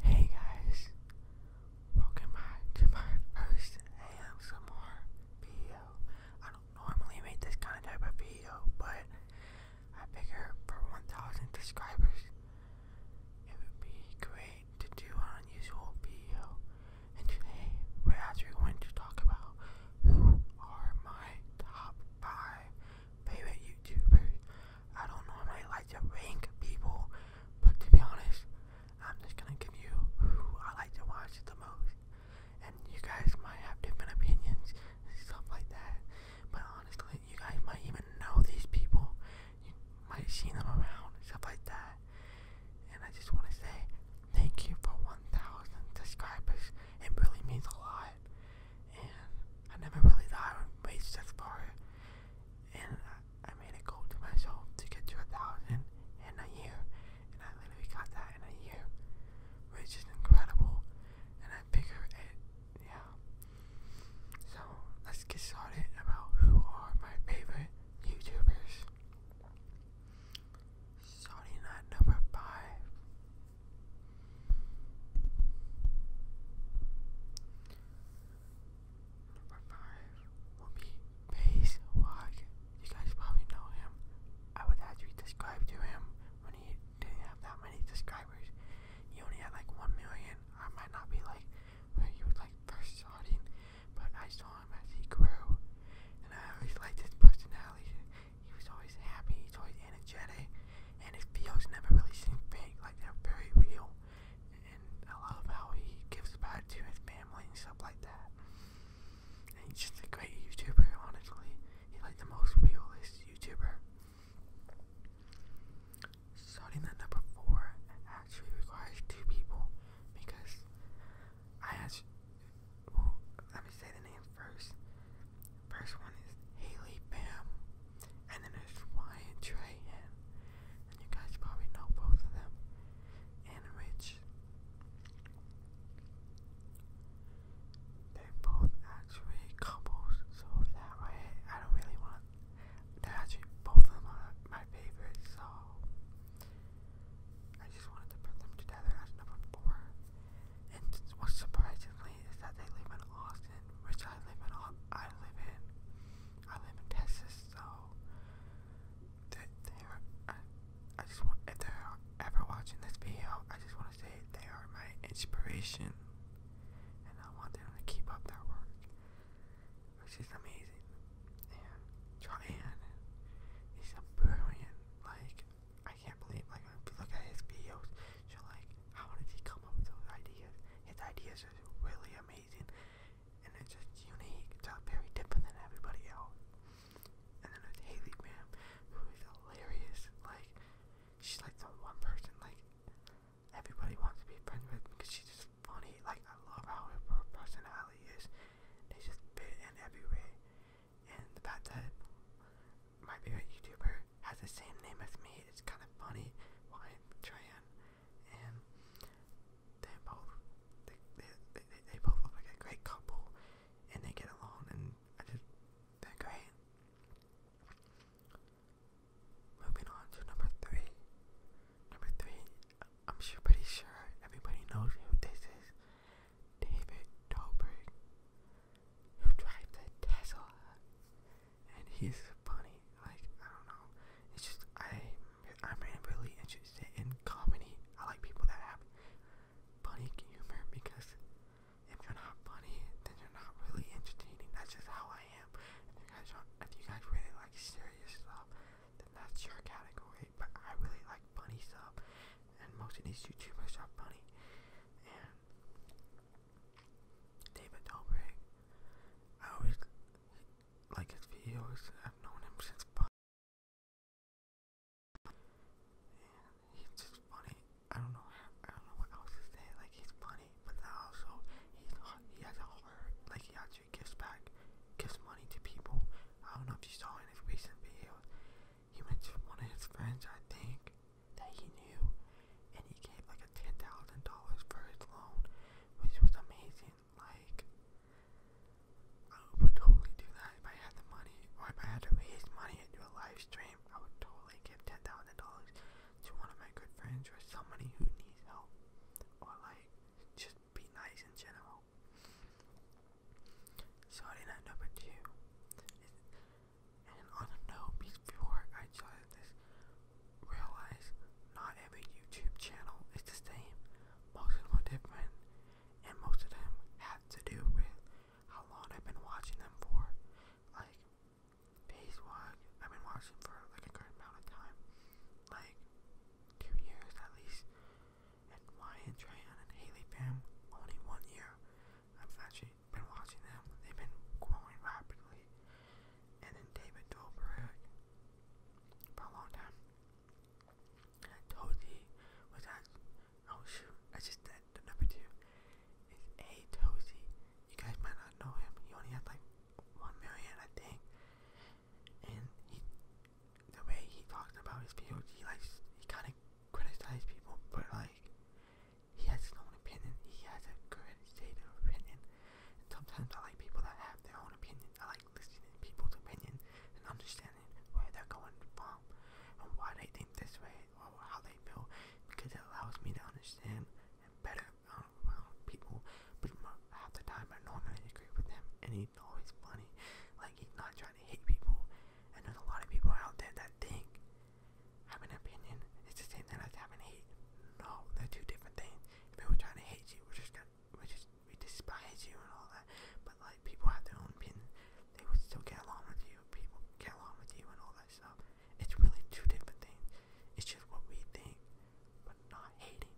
Hey guys, welcome back to my first ASMR video. I don't normally make this kind of video, but I figure for 1,000 subscribers, it would be great to do an unusual video. And today, we're actually going to talk about who are my top 5 favorite YouTubers. I don't normally like to rank people, but to be honest, I'm just gonna give you who I like to watch the most. And you guys might have different opinions and stuff like that. But honestly, you guys might even know these people. You might see them around and stuff like that. And I just wanna say thank you for 1,000 subscribers. It really means a lot. And I never really thought I would reach this far and I, I made a goal to myself to get to a thousand in a year, and I literally got that in a year, which is incredible. And I figure it, yeah. So let's get started about who are my favorite YouTubers. Starting at number five. Number five will be Pace Walk. You guys probably know him. I would actually describe to him when he didn't have that many subscribers. He only had like one million. I might not be like where he was like first starting, but I saw him as he grew, and I always liked his personality. He was always happy. He's always energetic and his videos never really seem fake, like they're very real. And I love how he gives back to his family and stuff like that. And he's just a great YouTuber, honestly. He's like the most realist YouTuber. Starting the number four actually requires two people because I have. Well, let me say the name first. First one is Haley Bam, and then there's Ryan Trahan, and you guys probably know both of them, and Rich. They're both actually couples, so that way I don't really want. they actually both of them are my favorites, so I just wanted to put them together as number four. And what's surprisingly is that they live in Austin which I live in. I live in. I live in Texas, so they, are, I, just want if they're ever watching this video, I just want to say they are my inspiration, and I want them to keep up their work, which is amazing. And Joanne is a brilliant. Like I can't believe like if you look at his videos, she like how did he come up with those ideas? His ideas are really amazing, and they just unique. It's very different than everybody else. And then there's Haley Graham, who is hilarious. Like, she's like the one person like everybody wants to be friends with because she's just funny. Like, I love how her personality is. They just fit in everywhere. And the fact that my favorite YouTuber has the same name as me. It's kind of funny. Why Cheyenne? And they both they, they, they, both look a great couple, and they get along, and I just they're great. Moving on to number three. Number three, I'm sure, pretty sure everybody knows who this is. David Dobrik who drives a Tesla, and he's funny. Like I don't know, it's just I I'm really interested in comedy. I like people that have funny humor because if you're not funny, then you're not really entertaining. That's just how I am. If you guys are, if you guys really like serious stuff, then that's your category. But I really like funny stuff, and most of these YouTubers are funny. And David Dobrik. I always like his videos. I've known him since five. he's just funny. I don't know. I don't know what else to say. Like he's funny, but also he's he has a Like he actually gives back, gives money to people. I don't know if you saw in recent video. He went to one of his friends, I think, that he knew, and he gave like a ten thousand dollars for his loan, which was amazing. Like, I would totally do that if I had the money, or if I had to raise money and do a live stream. I would totally give ten thousand dollars to one of my good friends or somebody who needs help, or like just be nice in general. So, in number two, and on a note, before I just realized not every YouTube channel is the same. Most of them are different, and most of them have to do with how long I've been watching them for. Like, Phase One, I've been watching for like a good amount of time, like two years at least. And Ryan, Trahan, and Haley Fam, only one year. I've actually been watching them. They've been growing rapidly. And then David Dobrik for a long time. Tozy was at oh shoot, I just said the number two. It's A Tozy. You guys might not know him. He only has like one million I think. And he the way he talks about his POG, like he kinda criticize people, but like he has his own opinion. He has a good state of opinion. And sometimes I like people that have their own opinion. I like listening to people's opinion and understanding where they're going from and why they think this way or how they feel, because it allows me to understand and better um, around people. But half the time I normally agree with him, and he's always funny. Like he's not trying to hate people and there's a lot of people out there that think having an opinion is the same thing as having hate. No, they're two different things. If people trying to hate you, we're just gonna, we just we despise you and all that. But like people have their own opinion, they would still get along with you. People get along with you and all that stuff. It's really two different things. It's just what we think, but not hating.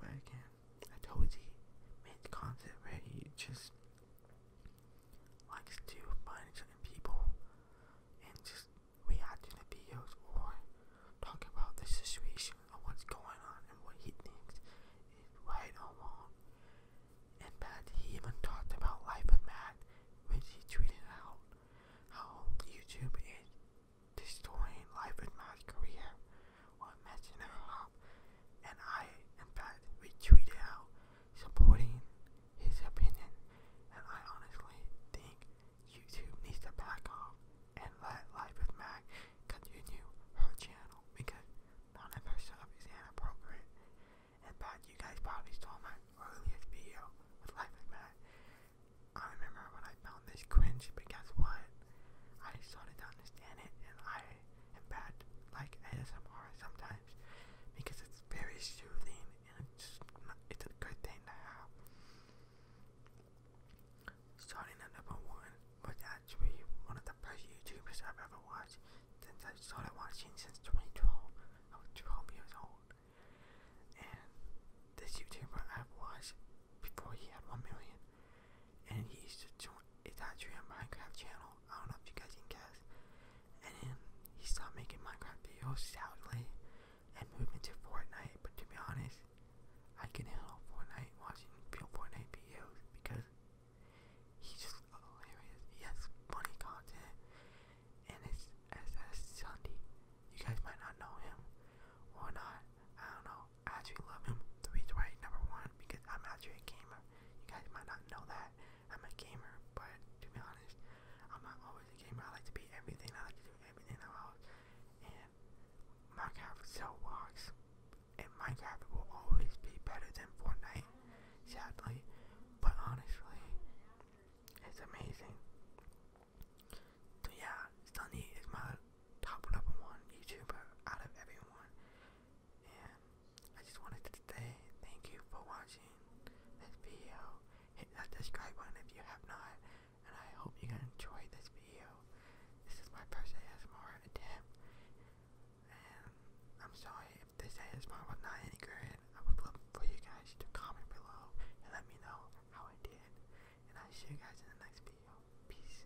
But again, I told you, main concept where you just likes to find certain people and just react to the videos or talk about the situation or what's going on and what he thinks is right or wrong. And Matt, he even talked about Life of Matt, which he tweeted out how YouTube is destroying Life of Matt's career or matching her and I, in fact, retweeted out supporting his opinion. And I honestly think YouTube needs to back off and let Life with Mac continue her channel because none of her stuff is inappropriate. In fact, you guys probably saw my earliest video with Life with Mac. I remember when I found this cringe, but guess what? I started to understand it, and I and bad like ASMR sometimes because it's very soothing and it's just not, it's a good thing to have. Starting at number one was actually one of the first YouTubers I've ever watched since I started watching since 2012. I was 12 years old. And this YouTuber I've watched before he had 1 million and he's just to it's actually a Minecraft channel. I don't know if you guys can guess. And then he stopped making Minecraft videos sadly and moved into Fortnite. But to be honest, I can handle Fortnite watching real Fortnite videos because he's just hilarious. He has funny content and it's SS Sunday. You guys might not know him or not. I don't know. I actually love him. The reason why number one because I'm actually a gamer. You guys might not know that I'm a gamer, but to be honest, I'm not always a gamer. I like to be everything. I like to do everything else. And Minecraft still works, and Minecraft will always be better than Fortnite, sadly. But honestly, it's amazing. So yeah, Sunny is my top number one YouTuber out of everyone and I just wanted to say thank you for watching this video. Hit that subscribe button if you have not, and I hope you guys enjoyed this video. This is my first ASMR attempt, and I'm sorry if this ASMR was not any good. I would love for you guys to comment below and let me know how I did, and I'll see you guys in the next video. Peace.